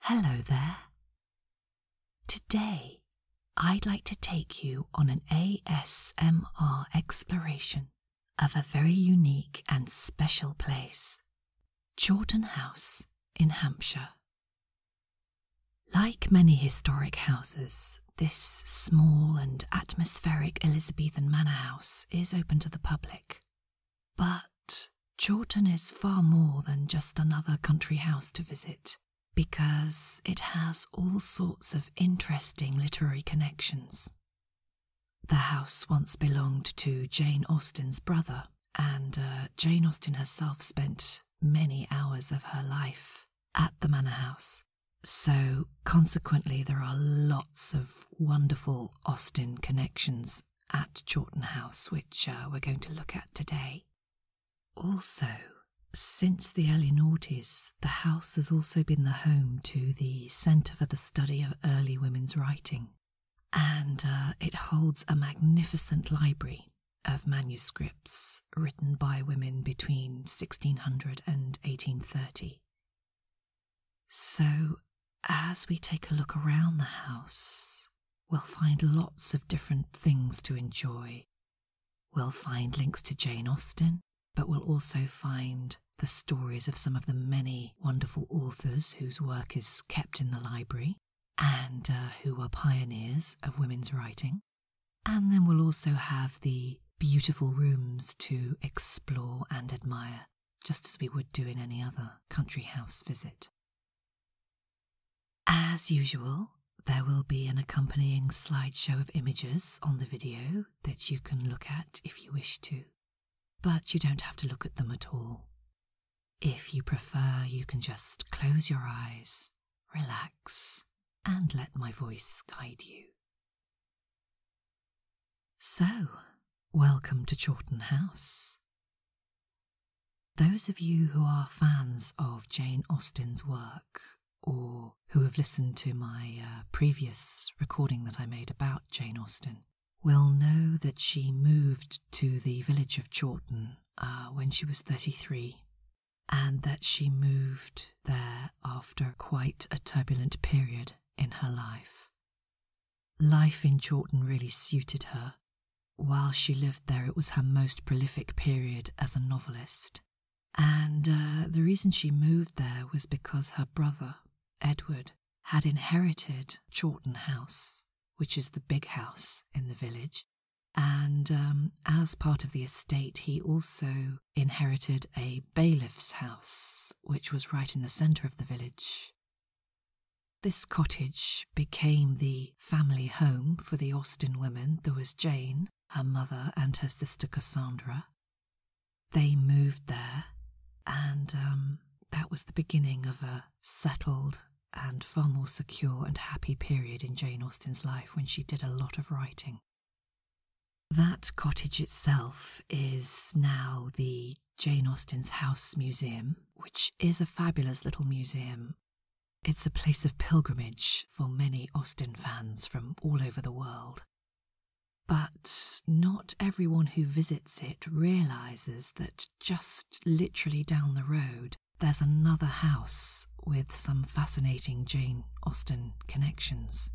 Hello there. Today, I'd like to take you on an ASMR exploration of a very unique and special place, Jordan House in Hampshire. Like many historic houses, this small and atmospheric Elizabethan manor house is open to the public but Chawton is far more than just another country house to visit, because it has all sorts of interesting literary connections. The house once belonged to Jane Austen's brother, and uh, Jane Austen herself spent many hours of her life at the manor house. So, consequently, there are lots of wonderful Austen connections at Chawton House, which uh, we're going to look at today. Also, since the early noughties, the house has also been the home to the Centre for the Study of Early Women's Writing, and uh, it holds a magnificent library of manuscripts written by women between 1600 and 1830. So, as we take a look around the house, we'll find lots of different things to enjoy. We'll find links to Jane Austen, but we'll also find the stories of some of the many wonderful authors whose work is kept in the library and uh, who were pioneers of women's writing. And then we'll also have the beautiful rooms to explore and admire just as we would do in any other country house visit. As usual, there will be an accompanying slideshow of images on the video that you can look at if you wish to, but you don't have to look at them at all. If you prefer, you can just close your eyes, relax, and let my voice guide you. So, welcome to Chawton House. Those of you who are fans of Jane Austen's work, or who have listened to my uh, previous recording that I made about Jane Austen, will know that she moved to the village of Chawton uh, when she was 33, and that she moved there after quite a turbulent period in her life. Life in Chawton really suited her. While she lived there, it was her most prolific period as a novelist. And uh, the reason she moved there was because her brother, Edward, had inherited Chawton House, which is the big house in the village. And um, as part of the estate, he also inherited a bailiff's house, which was right in the centre of the village. This cottage became the family home for the Austen women. There was Jane, her mother, and her sister Cassandra. They moved there, and um, that was the beginning of a settled and far more secure and happy period in Jane Austen's life when she did a lot of writing. That cottage itself is now the Jane Austen's House Museum, which is a fabulous little museum. It's a place of pilgrimage for many Austen fans from all over the world. But not everyone who visits it realises that just literally down the road there's another house with some fascinating Jane Austen connections.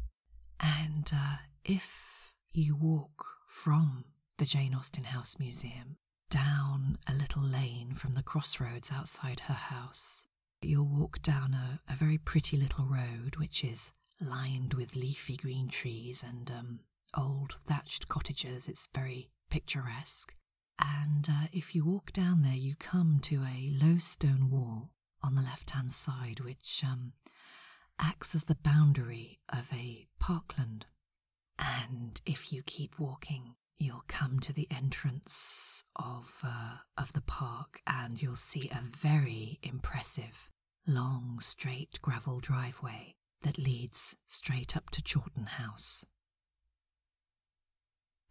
And uh, if you walk from the Jane Austen House Museum. Down a little lane from the crossroads outside her house, you'll walk down a, very pretty little road which is lined with leafy green trees and um, old thatched cottages. It's very picturesque. And uh, if you walk down there, you come to a low stone wall on the left hand side, which um, acts as the boundary of a parkland and if you keep walking, you'll come to the entrance of uh, of the park, and you'll see a very impressive long, straight gravel driveway that leads straight up to Chawton House.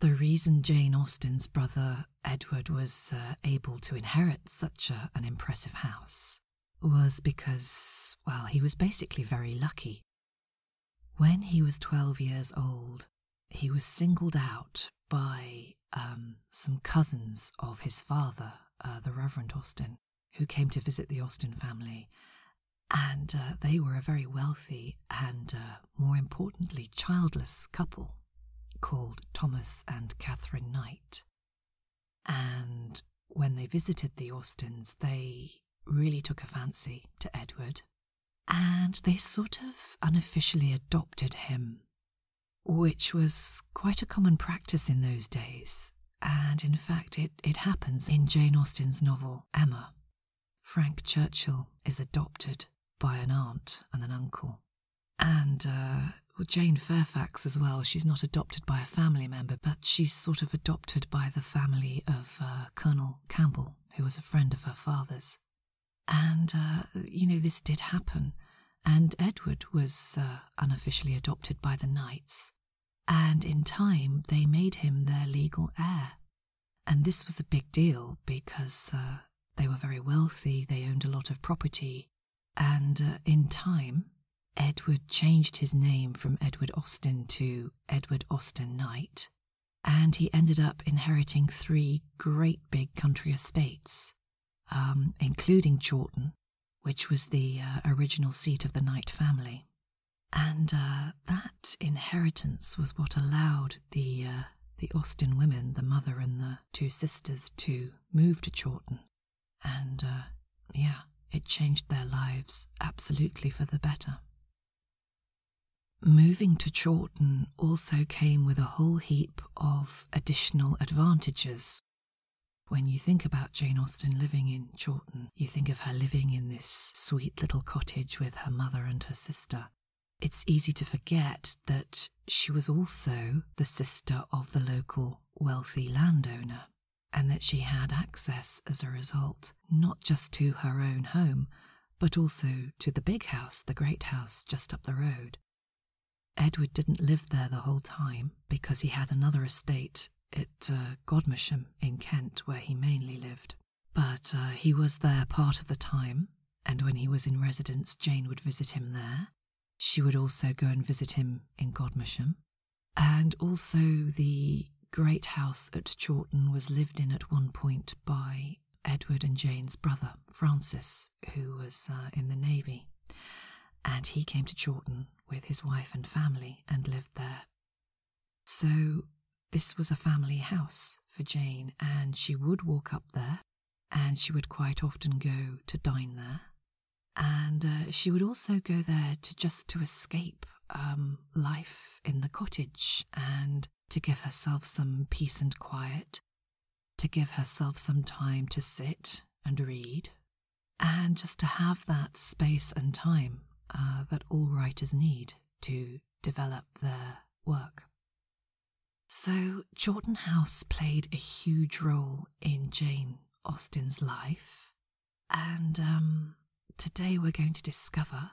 The reason Jane Austen's brother Edward was uh, able to inherit such an impressive house was because, well, he was basically very lucky. When he was 12 years old, he was singled out by um, some cousins of his father, uh, the Reverend Austin, who came to visit the Austin family. And uh, they were a very wealthy and, uh, more importantly, childless couple called Thomas and Catherine Knight. And when they visited the Austens, they really took a fancy to Edward, and they sort of unofficially adopted him, which was quite a common practice in those days. And in fact, it, it happens in Jane Austen's novel Emma. Frank Churchill is adopted by an aunt and an uncle. And uh, well, Jane Fairfax as well. She's not adopted by a family member, but she's sort of adopted by the family of uh, Colonel Campbell, who was a friend of her father's. And, uh, you know, this did happen. And Edward was uh, unofficially adopted by the Knights. And in time, they made him their legal heir. And this was a big deal because they were very wealthy, they owned a lot of property, and in time, Edward changed his name from Edward Austin to Edward Austin Knight, and he ended up inheriting three great big country estates, um, including Chawton, which was the uh, original seat of the Knight family. And uh, that inheritance was what allowed the, uh, the Austin women, the mother and the two sisters, to move to Chawton and uh, yeah, it changed their lives absolutely for the better. Moving to Chawton also came with a whole heap of additional advantages. When you think about Jane Austen living in Chawton, you think of her living in this sweet little cottage with her mother and her sister. It's easy to forget that she was also the sister of the local wealthy landowner and that she had access as a result, not just to her own home, but also to the big house, the great house just up the road. Edward didn't live there the whole time because he had another estate at uh, Godmersham in Kent where he mainly lived. But uh, he was there part of the time, and when he was in residence, Jane would visit him there. She would also go and visit him in Godmersham, and also the great house at Chawton was lived in at one point by Edward and Jane's brother, Francis, who was uh, in the Navy. And he came to Chawton with his wife and family and lived there. So, this was a family house for Jane, and she would walk up there, and she would quite often go to dine there and uh, she would also go there just to escape um, life in the cottage and to give herself some peace and quiet, to give herself some time to sit and read, and just to have that space and time uh, that all writers need to develop their work. So, Chawton House played a huge role in Jane Austen's life and um, today we're going to discover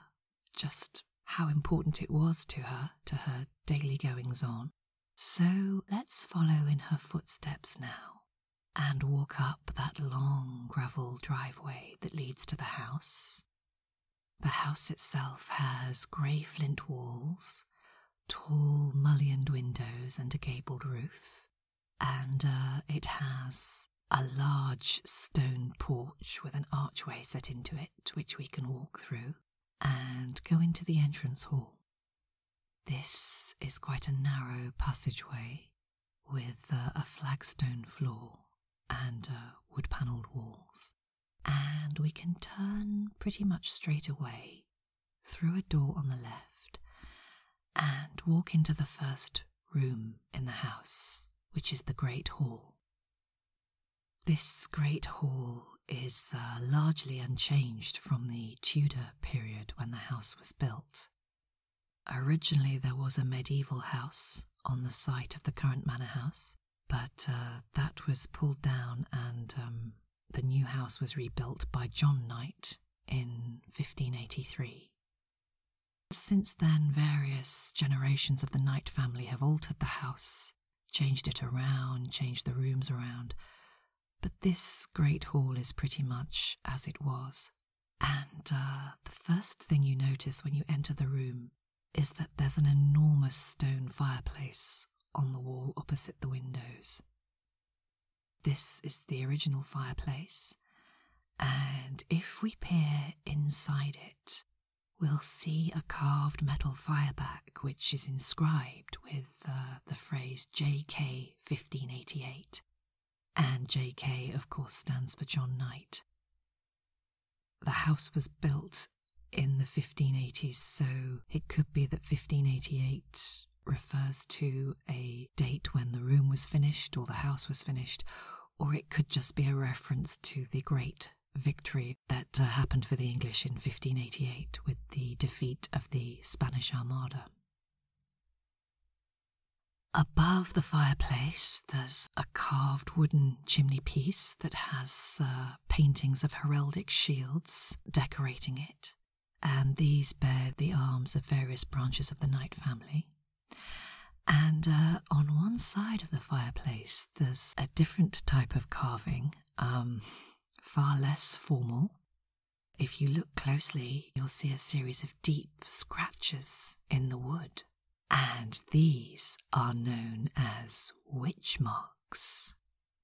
just how important it was to her, to her daily goings on. So let's follow in her footsteps now and walk up that long gravel driveway that leads to the house. The house itself has grey flint walls, tall mullioned windows, and a gabled roof and uh, it has a large stone porch with an archway set into it, which we can walk through and go into the entrance hall. This is quite a narrow passageway with uh, a flagstone floor and uh, wood panelled walls, and we can turn pretty much straight away through a door on the left and walk into the first room in the house, which is the Great Hall. This Great Hall is uh, largely unchanged from the Tudor period when the house was built. Originally, there was a medieval house on the site of the current manor house, but uh, that was pulled down and um, the new house was rebuilt by John Knight in 1583. Since then, various generations of the Knight family have altered the house, changed it around, changed the rooms around, but this great hall is pretty much as it was. And uh, the first thing you notice when you enter the room is that there's an enormous stone fireplace on the wall opposite the windows. This is the original fireplace, and if we peer inside it, we'll see a carved metal fireback which is inscribed with uh, the phrase JK 1588. And JK, of course, stands for John Knight. The house was built in the 1580s, so it could be that 1588 refers to a date when the room was finished or the house was finished, or it could just be a reference to the great victory that uh, happened for the English in 1588 with the defeat of the Spanish Armada. Above the fireplace, there's a carved wooden chimney piece that has uh, paintings of heraldic shields decorating it, and these bear the arms of various branches of the Knight family. And uh, on one side of the fireplace, there's a different type of carving, um, far less formal. If you look closely, you'll see a series of deep scratches in the wood, and these are known as witch marks.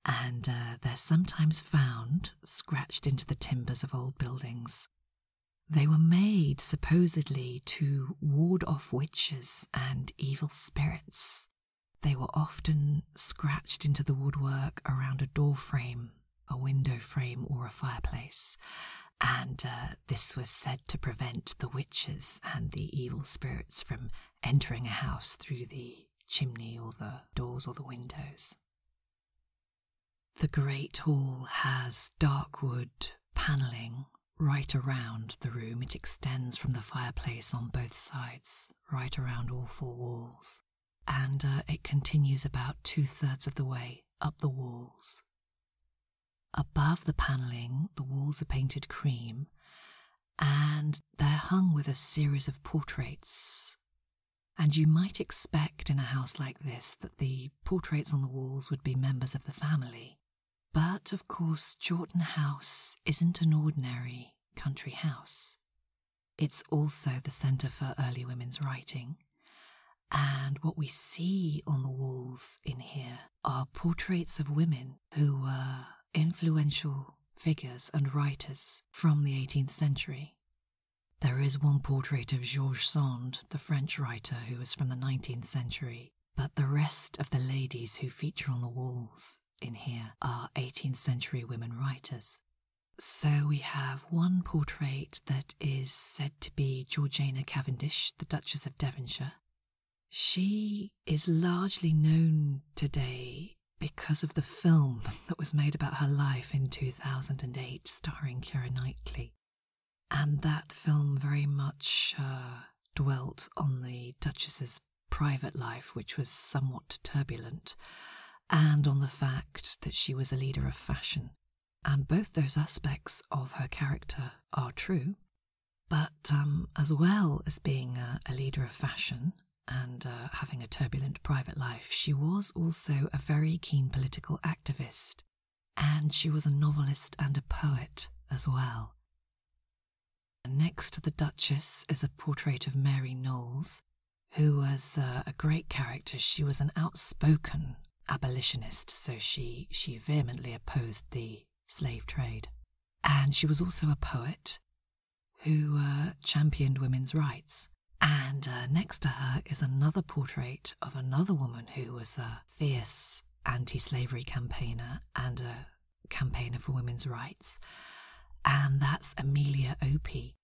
And uh, they're sometimes found scratched into the timbers of old buildings they were made supposedly to ward off witches and evil spirits. They were often scratched into the woodwork around a door frame, a window frame, or a fireplace, and uh, this was said to prevent the witches and the evil spirits from entering a house through the chimney or the doors or the windows. The Great Hall has dark wood panelling right around the room. It extends from the fireplace on both sides, right around all four walls, and uh, it continues about two thirds of the way up the walls. Above the panelling, the walls are painted cream and they're hung with a series of portraits and you might expect in a house like this that the portraits on the walls would be members of the family. But of course, Jordan House isn't an ordinary country house. It's also the centre for early women's writing, and what we see on the walls in here are portraits of women who were influential figures and writers from the 18th century. There is one portrait of George Sand, the French writer who was from the 19th century, but the rest of the ladies who feature on the walls in here are 18th century women writers. So we have one portrait that is said to be Georgiana Cavendish, the Duchess of Devonshire. She is largely known today because of the film that was made about her life in 2008, starring Kira Knightley. And that film very much uh, dwelt on the Duchess's private life, which was somewhat turbulent, and on the fact that she was a leader of fashion. And both those aspects of her character are true. But um, as well as being a, leader of fashion and uh, having a turbulent private life, she was also a very keen political activist and she was a novelist and a poet as well. Next to the Duchess is a portrait of Mary Knowles, who was uh, a great character. She was an outspoken abolitionist, so she, she vehemently opposed the slave trade. And she was also a poet who uh, championed women's rights. And uh, next to her is another portrait of another woman who was a fierce anti slavery campaigner and a campaigner for women's rights. And that's Amelia Opie.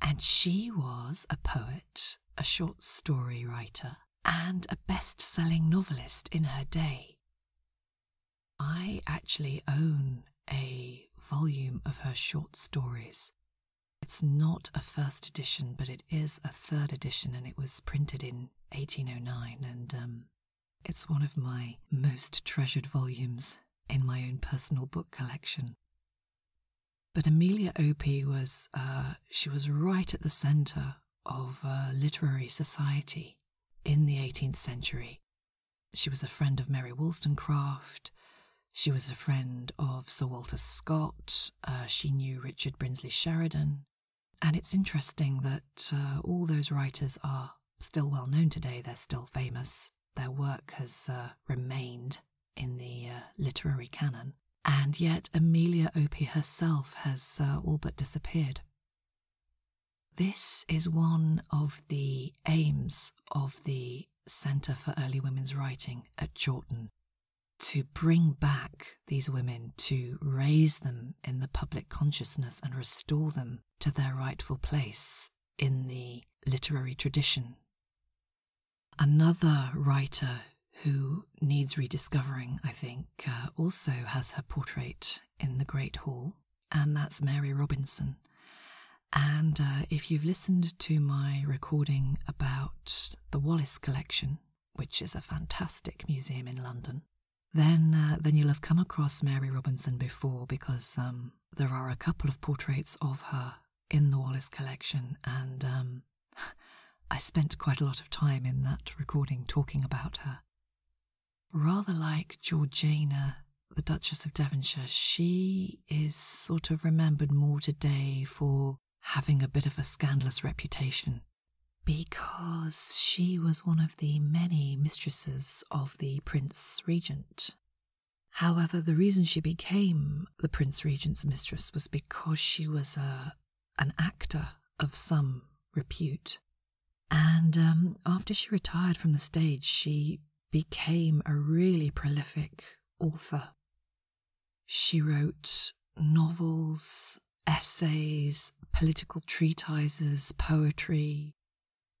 And she was a poet, a short story writer, and a best selling novelist in her day. I actually own a volume of her short stories it's not a first edition, but it is a third edition, and it was printed in 1809, and um, it's one of my most treasured volumes in my own personal book collection. But Amelia Opie was, uh, she was right at the centre of uh, literary society in the 18th century. She was a friend of Mary Wollstonecraft. She was a friend of Sir Walter Scott. Uh, she knew Richard Brinsley Sheridan. And it's interesting that uh, all those writers are still well known today, they're still famous. Their work has uh, remained in the literary canon. And yet, Amelia Opie herself has all but disappeared. This is one of the aims of the Centre for Early Women's Writing at Chawton to bring back these women, to raise them in the public consciousness and restore them to their rightful place in the literary tradition. Another writer who needs rediscovering, I think, uh, also has her portrait in the Great Hall, and that's Mary Robinson. And uh, if you've listened to my recording about the Wallace Collection, which is a fantastic museum in London. Then, uh, then you'll have come across Mary Robinson before, because um, there are a couple of portraits of her in the Wallace Collection, and um, I spent quite a lot of time in that recording talking about her. Rather like Georgina, the Duchess of Devonshire, she is sort of remembered more today for having a bit of a scandalous reputation because she was one of the many mistresses of the Prince Regent. However, the reason she became the Prince Regent's mistress was because she was a, uh, an actor of some repute. And um, after she retired from the stage, she became a really prolific author. She wrote novels, essays, political treatises, poetry.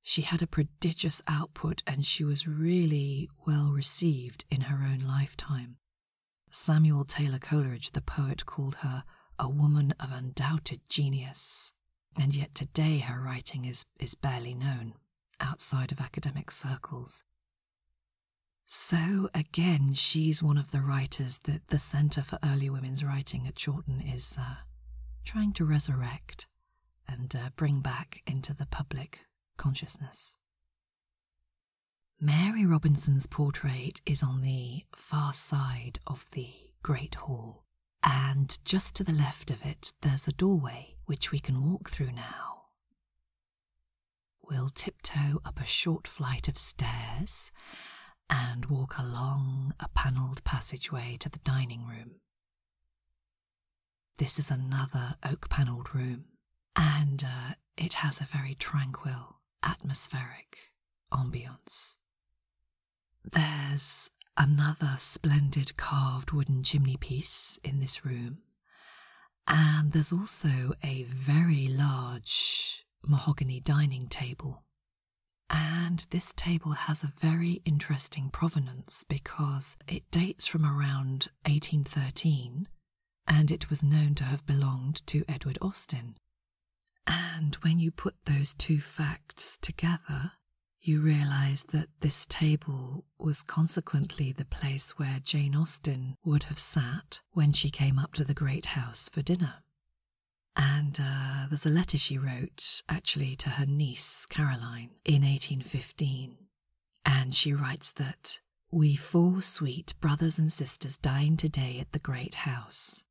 She had a prodigious output and she was really well received in her own lifetime. Samuel Taylor Coleridge, the poet, called her a woman of undoubted genius, and yet today her writing is, is barely known outside of academic circles. So, again, she's one of the writers that the Centre for Early Women's Writing at Chawton is uh, trying to resurrect and uh, bring back into the public consciousness. Mary Robinson's portrait is on the far side of the Great Hall, and just to the left of it, there's a doorway which we can walk through now. We'll tiptoe up a short flight of stairs and walk along a panelled passageway to the dining room. This is another oak panelled room, and uh, it has a very tranquil, atmospheric ambience. There's another splendid carved wooden chimney piece in this room, and there's also a very large mahogany dining table. And this table has a very interesting provenance because it dates from around 1813 and it was known to have belonged to Edward Austin. And when you put those two facts together, you realize that this table was consequently the place where Jane Austen would have sat when she came up to the great house for dinner. And uh, there's a letter she wrote actually to her niece Caroline in 1815. And she writes that we four sweet brothers and sisters dined today at the great house.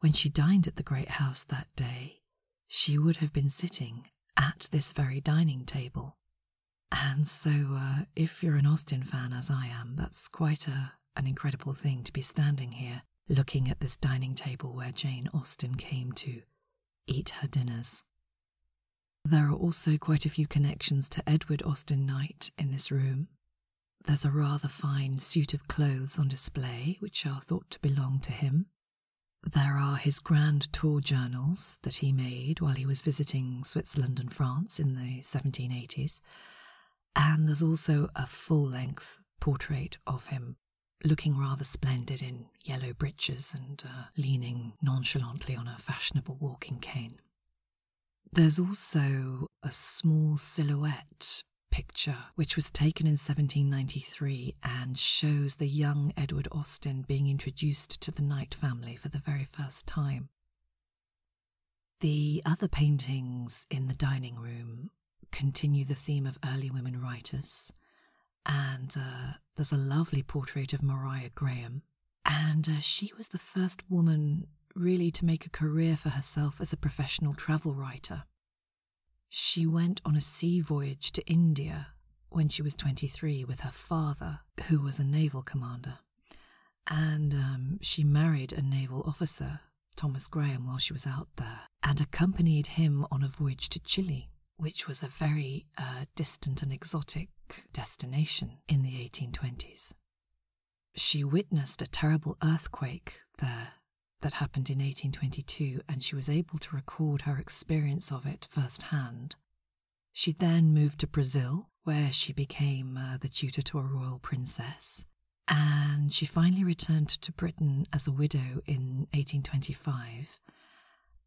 When she dined at the great house that day, she would have been sitting at this very dining table and so, uh, if you're an Austin fan, as I am, that's quite an incredible thing to be standing here looking at this dining table where Jane Austen came to eat her dinners. There are also quite a few connections to Edward Austen Knight in this room. There's a rather fine suit of clothes on display, which are thought to belong to him. There are his grand tour journals that he made while he was visiting Switzerland France in the 1780s. And there's also a full length portrait of him, looking rather splendid in yellow breeches and uh, leaning nonchalantly on a fashionable walking cane. There's also a small silhouette picture which was taken in 1793 and shows the young Edward Austin being introduced to the Knight family for the very first time. The other paintings in the dining room continue the theme of early women writers, and uh, there's a lovely portrait of Maria Graham. And uh, she was the first woman really to make a career for herself as a professional travel writer. She went on a sea voyage to India when she was 23 with her father, who was a naval commander. And um, she married a naval officer, Thomas Graham, while she was out there, and accompanied him on a voyage to Chile, which was a very uh, distant and exotic destination in the 1820s. She witnessed a terrible earthquake there that happened in 1822, and she was able to record her experience of it firsthand she then moved to Brazil, where she became uh, the tutor to a royal princess, and she finally returned to Britain as a widow in 1825.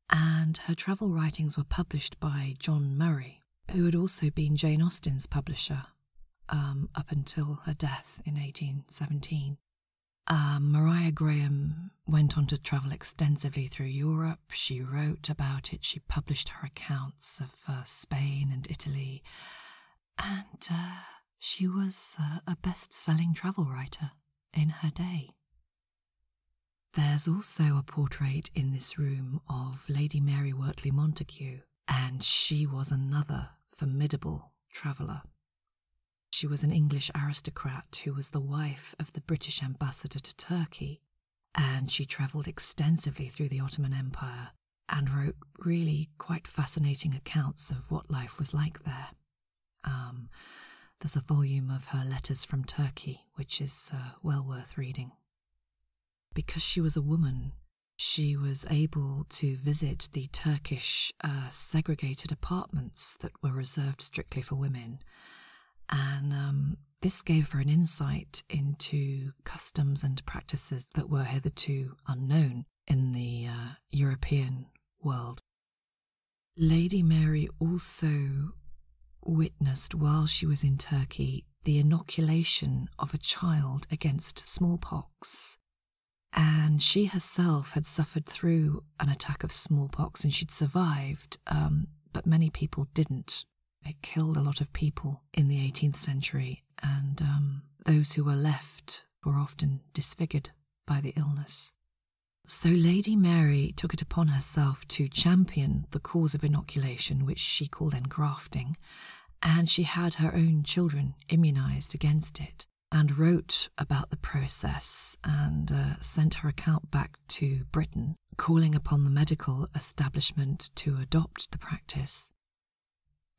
And her travel writings were published by John Murray, who had also been Jane Austen's publisher um, up until her death in 1817. Um, Maria Graham went on to travel extensively through Europe she wrote about it. She published her accounts of uh, Spain and Italy. And uh, she was uh, a best selling travel writer in her day. There's also a portrait in this room of Lady Mary Wortley Montagu, and she was another formidable traveller. She was an English aristocrat who was the wife of the British ambassador to Turkey and she travelled extensively through the Ottoman Empire and wrote really quite fascinating accounts of what life was like there. Um, there's a volume of her letters from Turkey, which is uh, well worth reading. Because she was a woman, she was able to visit the Turkish uh, segregated apartments that were reserved strictly for women. And um, this gave her an insight into customs and practices that were hitherto unknown in the uh, European world. Lady Mary also witnessed while she was in Turkey the inoculation of a child against smallpox. And she herself had suffered through an attack of smallpox and she'd survived, um, but many people didn't it killed a lot of people in the 18th century, and um, those who were left were often disfigured by the illness. So Lady Mary took it upon herself to champion the cause of inoculation, which she called engrafting, and she had her own children immunized against it and wrote about the process and uh, sent her account back to Britain calling upon the medical establishment to adopt the practice.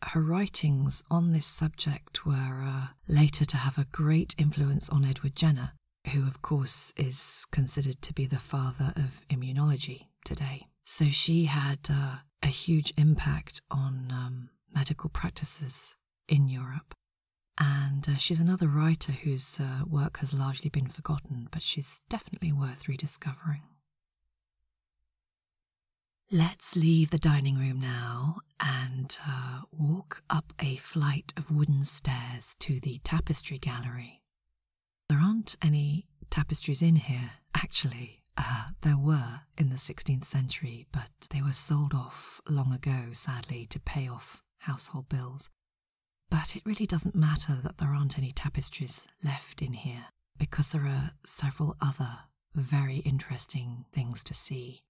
Her writings on this subject were uh, later to have a great influence on Edward Jenner, who, of course, is considered to be the father of immunology today. So she had uh, a huge impact on um, medical practices in Europe. And uh, she's another writer whose work has largely been forgotten, but she's definitely worth rediscovering. Let's leave the dining room now and uh, walk up a flight of wooden stairs to the tapestry gallery. There aren't any tapestries in here, actually. Uh, there were in the 16th century, but they were sold off long ago, sadly, to pay off household bills. But it really doesn't matter that there aren't any tapestries left in here, because there are several other very interesting things to see.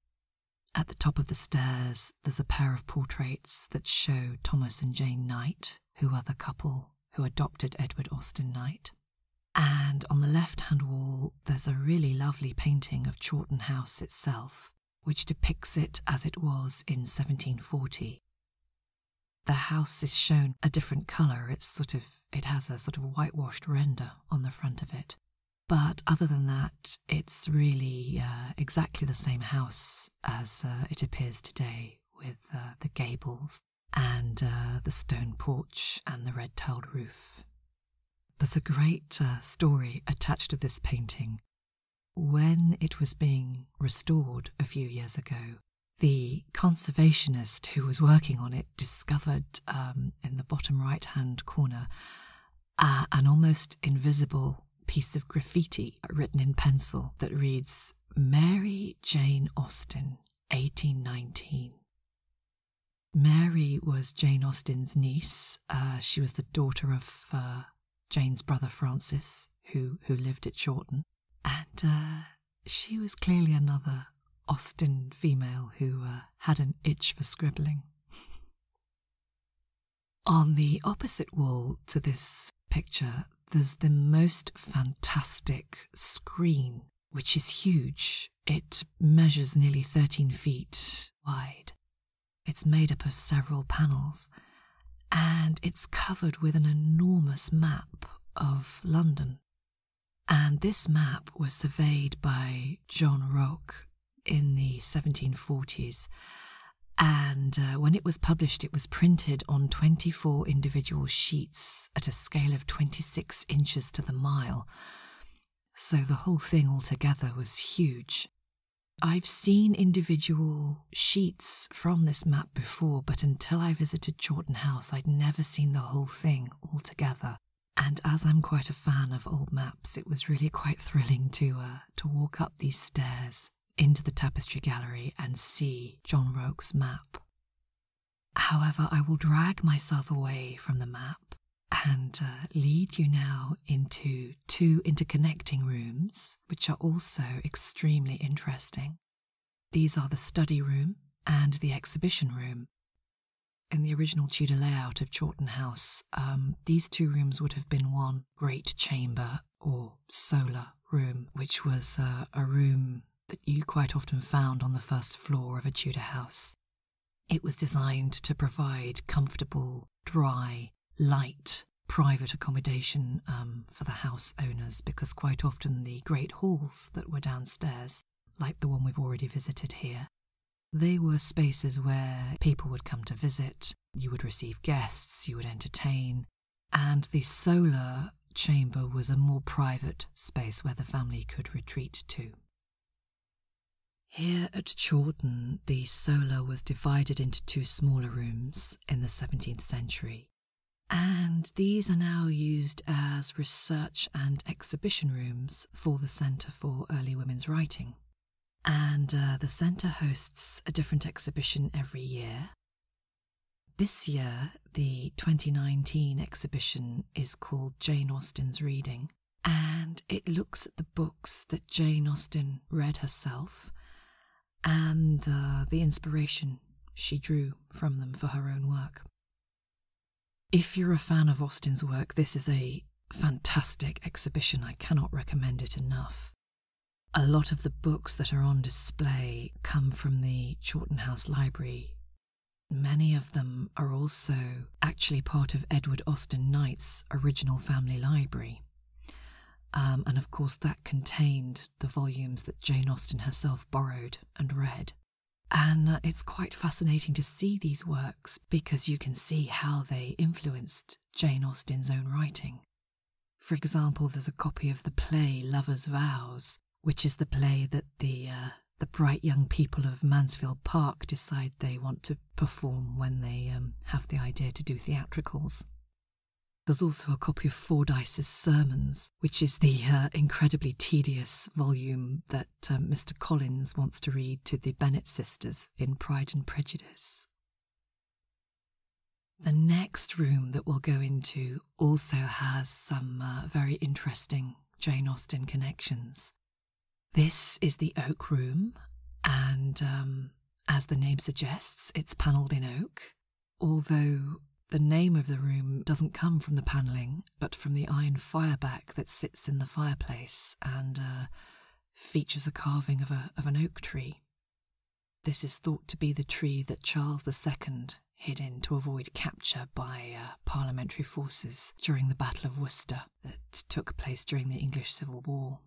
At the top of the stairs, there's a pair of portraits that show Thomas and Jane Knight, who are the couple who adopted Edward Austin Knight. And on the left hand wall, there's a really lovely painting of Chawton House itself, which depicts it as it was in 1740. The house is shown a different colour. It's sort of, it has a sort of whitewashed render on the front of it. But other than that, it's really uh, exactly the same house as uh, it appears today, with uh, the gables and the stone porch and the red tiled roof. There's a great story attached to this painting, when it was being restored a few years ago, the conservationist who was working on it discovered um, in the bottom right hand corner uh, an almost invisible piece of graffiti written in pencil that reads Mary Jane Austen, 1819. Mary was Jane Austen's niece. Uh, she was the daughter of uh, Jane's brother Francis, who, who lived at Chawton. And uh, she was clearly another Austin female who uh, had an itch for scribbling. On the opposite wall to this picture, there's the most fantastic screen, which is huge. It measures nearly 13 feet wide. It's made up of several panels, and it's covered with an enormous map of London. And this map was surveyed by John Rock in the 1740s. And uh, when it was published, it was printed on 24 individual sheets at a scale of 26 inches to the mile. So the whole thing altogether was huge. I've seen individual sheets from this map before, but until I visited Chawton House, I'd never seen the whole thing altogether. And as I'm quite a fan of old maps, it was really quite thrilling to uh, to walk up these stairs into the tapestry gallery and see John Roke's map. However, I will drag myself away from the map and uh, lead you now into two interconnecting rooms, which are also extremely interesting. These are the study room and the exhibition room. In the original Tudor layout of Chawton House, um, these two rooms would have been one great chamber or solar room, which was uh, a room that you quite often found on the first floor of a Tudor house. It was designed to provide comfortable, dry, light, private accommodation um, for the house owners because quite often the great halls that were downstairs, like the one we've already visited here, they were spaces where people would come to visit, you would receive guests, you would entertain, and the solar chamber was a more private space where the family could retreat to. Here at Chawton, the solar was divided into two smaller rooms in the 17th century and these are now used as research and exhibition rooms for the Centre for Early Women's Writing. And uh, the centre hosts a different exhibition every year. This year, the 2019 exhibition is called Jane Austen's Reading, and it looks at the books that Jane Austen read herself and uh, the inspiration she drew from them for her own work. If you're a fan of Austen's work, this is a fantastic exhibition. I cannot recommend it enough. A lot of the books that are on display come from the Chawton House Library. Many of them are also actually part of Edward Austen Knight's original family library. Um, and of course, that contained the volumes that Jane Austen herself borrowed and read. And uh, it's quite fascinating to see these works because you can see how they influenced Jane Austen's own writing. For example, there's a copy of the play Lover's Vows, which is the play that the, uh, the bright young people of Mansfield Park decide they want to perform when they um, have the idea to do theatricals. There's also a copy of Fordyce's Sermons, which is the uh, incredibly tedious volume that Mr. Um, Collins wants to read to the Bennett sisters in Pride and Prejudice. The next room that we'll go into also has some uh, very interesting Jane Austen connections. This is the oak room, and um, as the name suggests, it's panelled in oak although the name of the room doesn't come from the panelling, but from the iron fireback that sits in the fireplace and uh, features a carving of, a, of an oak tree. This is thought to be the tree that Charles II hid in to avoid capture by uh, parliamentary forces during the Battle of Worcester that took place during the English Civil War.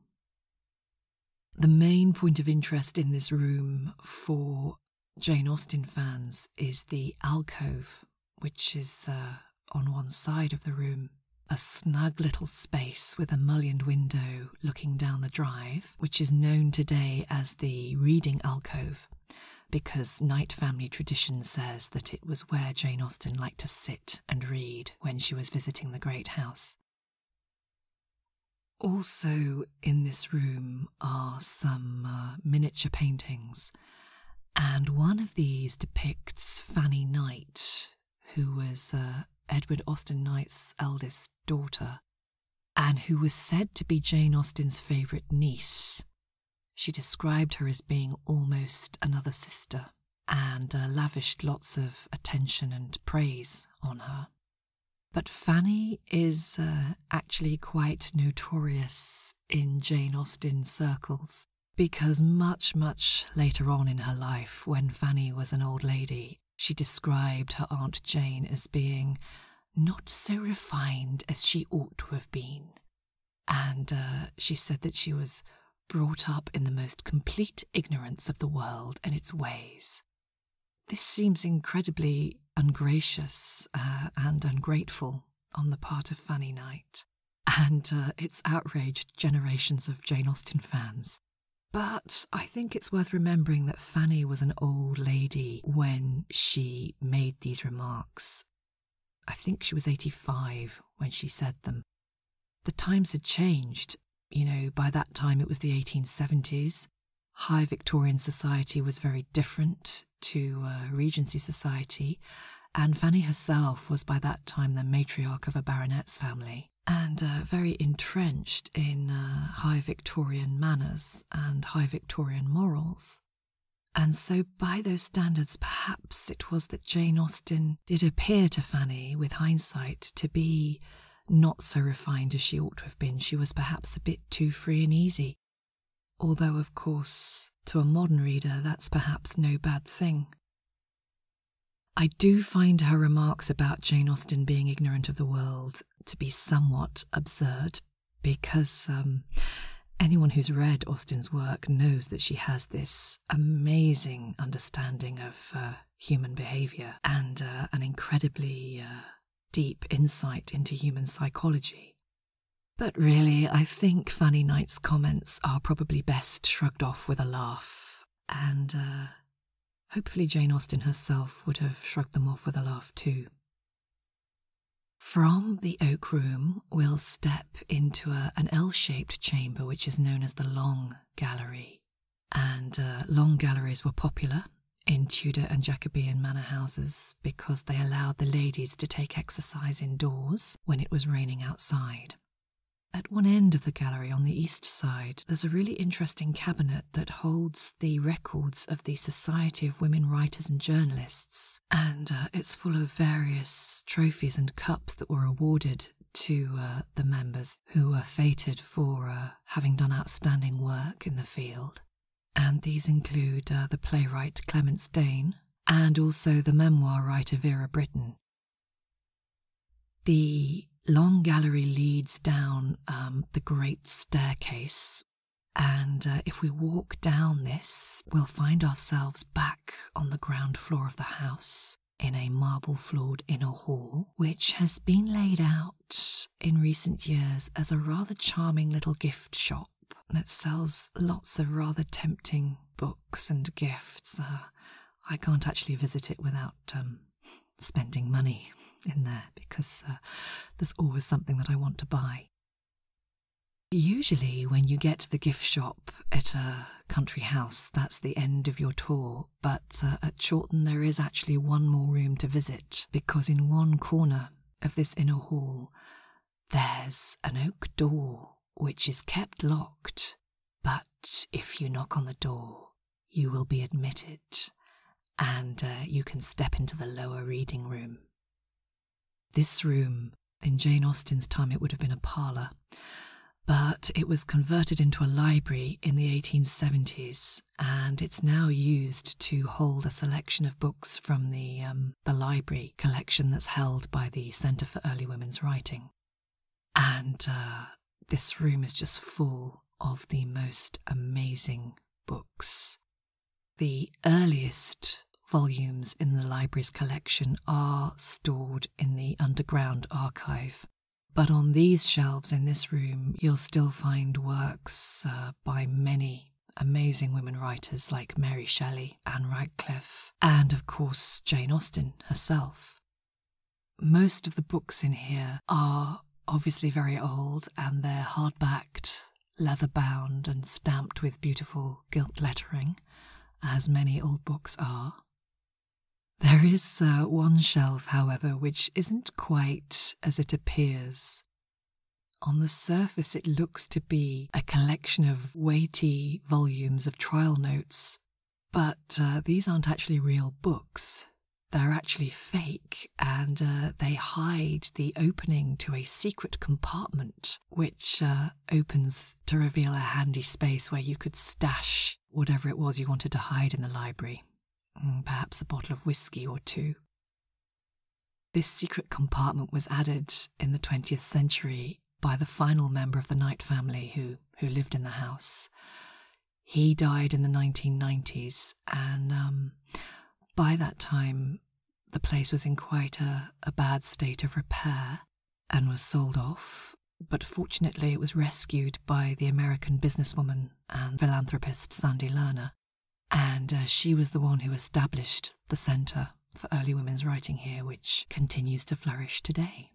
The main point of interest in this room for Jane Austen fans is the alcove, which is uh, on one side of the room. A snug little space with a mullioned window looking down the drive, which is known today as the reading alcove, because Knight family tradition says that it was where Jane Austen liked to sit and read when she was visiting the great house. Also, in this room are some uh, miniature paintings, and one of these depicts Fanny Knight, who was uh, Edward Austen Knight's eldest daughter, and who was said to be Jane Austen's favourite niece. She described her as being almost another sister and uh, lavished lots of attention and praise on her. But Fanny is uh, actually quite notorious in Jane Austen's circles because much, much later on in her life, when Fanny was an old lady, she described her Aunt Jane as being not so refined as she ought to have been. And uh, she said that she was brought up in the most complete ignorance of the world and its ways, this seems incredibly ungracious uh, and ungrateful on the part of Fanny Knight, and uh, it's outraged generations of Jane Austen fans. But I think it's worth remembering that Fanny was an old lady when she made these remarks. I think she was 85 when she said them. The times had changed. You know, by that time it was the 1870s high Victorian society was very different to uh, Regency society, and Fanny herself was by that time the matriarch of a baronet's family and uh, very entrenched in uh, high Victorian manners and high Victorian morals. And so, by those standards, perhaps it was that Jane Austen did appear to Fanny, with hindsight, to be not so refined as she ought to have been, she was perhaps a bit too free and easy. Although, of course, to a modern reader, that's perhaps no bad thing. I do find her remarks about Jane Austen being ignorant of the world to be somewhat absurd, because um, anyone who's read Austen's work knows that she has this amazing understanding of uh, human behaviour and uh, an incredibly uh, deep insight into human psychology. But really, I think Fanny Knight's comments are probably best shrugged off with a laugh, and uh, hopefully, Jane Austen herself would have shrugged them off with a laugh too. From the oak room, we'll step into an L shaped chamber which is known as the Long Gallery. And uh, long galleries were popular in Tudor and Jacobean manor houses because they allowed the ladies to take exercise indoors when it was raining outside. At one end of the gallery on the east side, there's a really interesting cabinet that holds the records of the Society of Women Writers and Journalists, and uh, it's full of various trophies and cups that were awarded to uh, the members who were fated for uh, having done outstanding work in the field and these include uh, the playwright Clement Stain and also the memoir writer Vera Brittain. The long gallery leads down um, the great staircase, and uh, if we walk down this, we'll find ourselves back on the ground floor of the house in a marble floored inner hall, which has been laid out in recent years as a rather charming little gift shop that sells lots of rather tempting books and gifts. Uh, I can't actually visit it without um, spending money in there because uh, there's always something that I want to buy. Usually, when you get to the gift shop at a country house, that's the end of your tour, but uh, at Chawton there is actually one more room to visit because in one corner of this inner hall there's an oak door which is kept locked, but if you knock on the door, you will be admitted and uh, you can step into the lower reading room. This room, in Jane Austen's time, it would have been a parlour, but it was converted into a library in the 1870s and it's now used to hold a selection of books from the, um, the library collection that's held by the Centre for Early Women's Writing. And uh, this room is just full of the most amazing books. The earliest volumes in the library's collection are stored in the underground archive. But on these shelves in this room, you'll still find works uh, by many amazing women writers like Mary Shelley, Anne Radcliffe, and of course Jane Austen herself. Most of the books in here are obviously very old and they're hard-backed, leather bound, and stamped with beautiful gilt lettering, as many old books are. There is uh, one shelf, however, which isn't quite as it appears on the surface, it looks to be a collection of weighty volumes of trial notes, but uh, these aren't actually real books. They're actually fake, and uh, they hide the opening to a secret compartment, which uh, opens to reveal a handy space where you could stash whatever it was you wanted to hide in the library. Mm, perhaps a bottle of whiskey or two. This secret compartment was added in the 20th century by the final member of the Knight family who, who lived in the house. He died in the 1990s, and um, by that time, the place was in quite a bad state of repair and was sold off. But fortunately, it was rescued by the American businesswoman and philanthropist Sandy Lerner, and uh, she was the one who established the Centre for Early Women's Writing here, which continues to flourish today.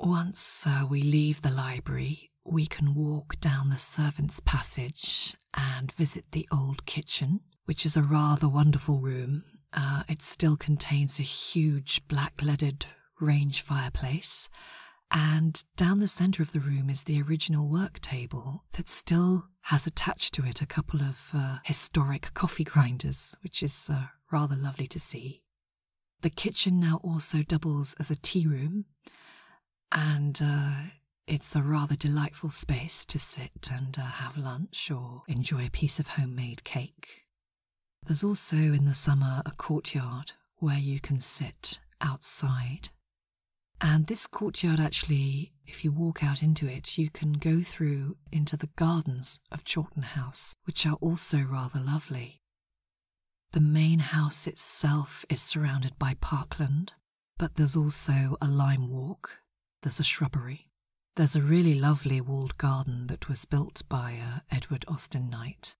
Once uh, we leave the library, we can walk down the servants' passage and visit the old kitchen, which is a rather wonderful room. Uh, it still contains a huge black leaded range fireplace and down the center of the room is the original work table that still has attached to it a couple of uh, historic coffee grinders, which is uh, rather lovely to see. The kitchen now also doubles as a tea room, and uh, it's a rather delightful space to sit and have lunch or enjoy a piece of homemade cake. There's also in the summer a courtyard where you can sit outside and this courtyard, actually, if you walk out into it, you can go through into the gardens of Chawton House, which are also rather lovely. The main house itself is surrounded by parkland, but there's also a lime walk, there's a shrubbery, there's a really lovely walled garden that was built by uh, Edward Austin Knight,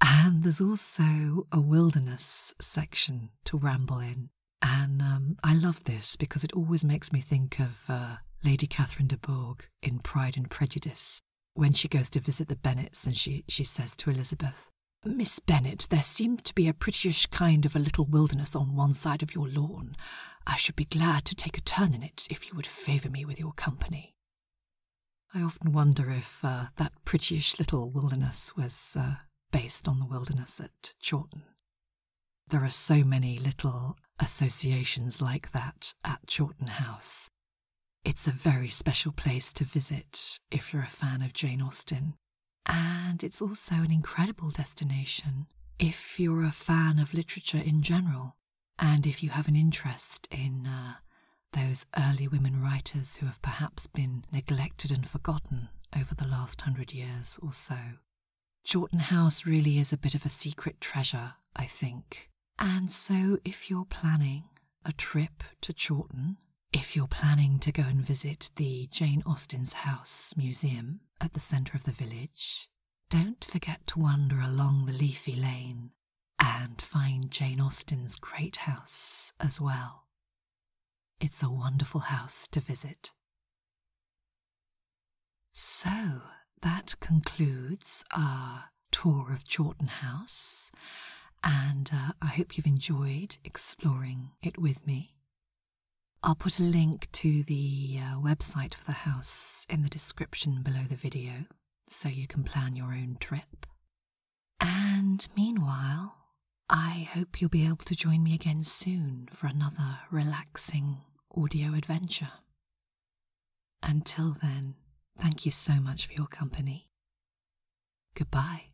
and there's also a wilderness section to ramble in. And um, I love this because it always makes me think of uh, Lady Catherine de Bourgh in Pride and Prejudice when she goes to visit the Bennets and she, she says to Elizabeth, Miss Bennet, there seems to be a prettyish kind of a little wilderness on one side of your lawn. I should be glad to take a turn in it if you would favour me with your company. I often wonder if uh, that prettyish little wilderness was uh, based on the wilderness at Chawton. There are so many little associations like that at Chawton House. It's a very special place to visit if you're a fan of Jane Austen. And it's also an incredible destination if you're a fan of literature in general, and if you have an interest in uh, those early women writers who have perhaps been neglected and forgotten over the last hundred years or so. Chawton House really is a bit of a secret treasure, I think. And so, if you're planning a trip to Chawton, if you're planning to go and visit the Jane Austen's House Museum at the centre of the village, don't forget to wander along the leafy lane and find Jane Austen's great house as well. It's a wonderful house to visit. So that concludes our tour of Chawton House, and uh, I hope you've enjoyed exploring it with me. I'll put a link to the uh, website for the house in the description below the video so you can plan your own trip. And meanwhile, I hope you'll be able to join me again soon for another relaxing audio adventure. Until then, thank you so much for your company. Goodbye.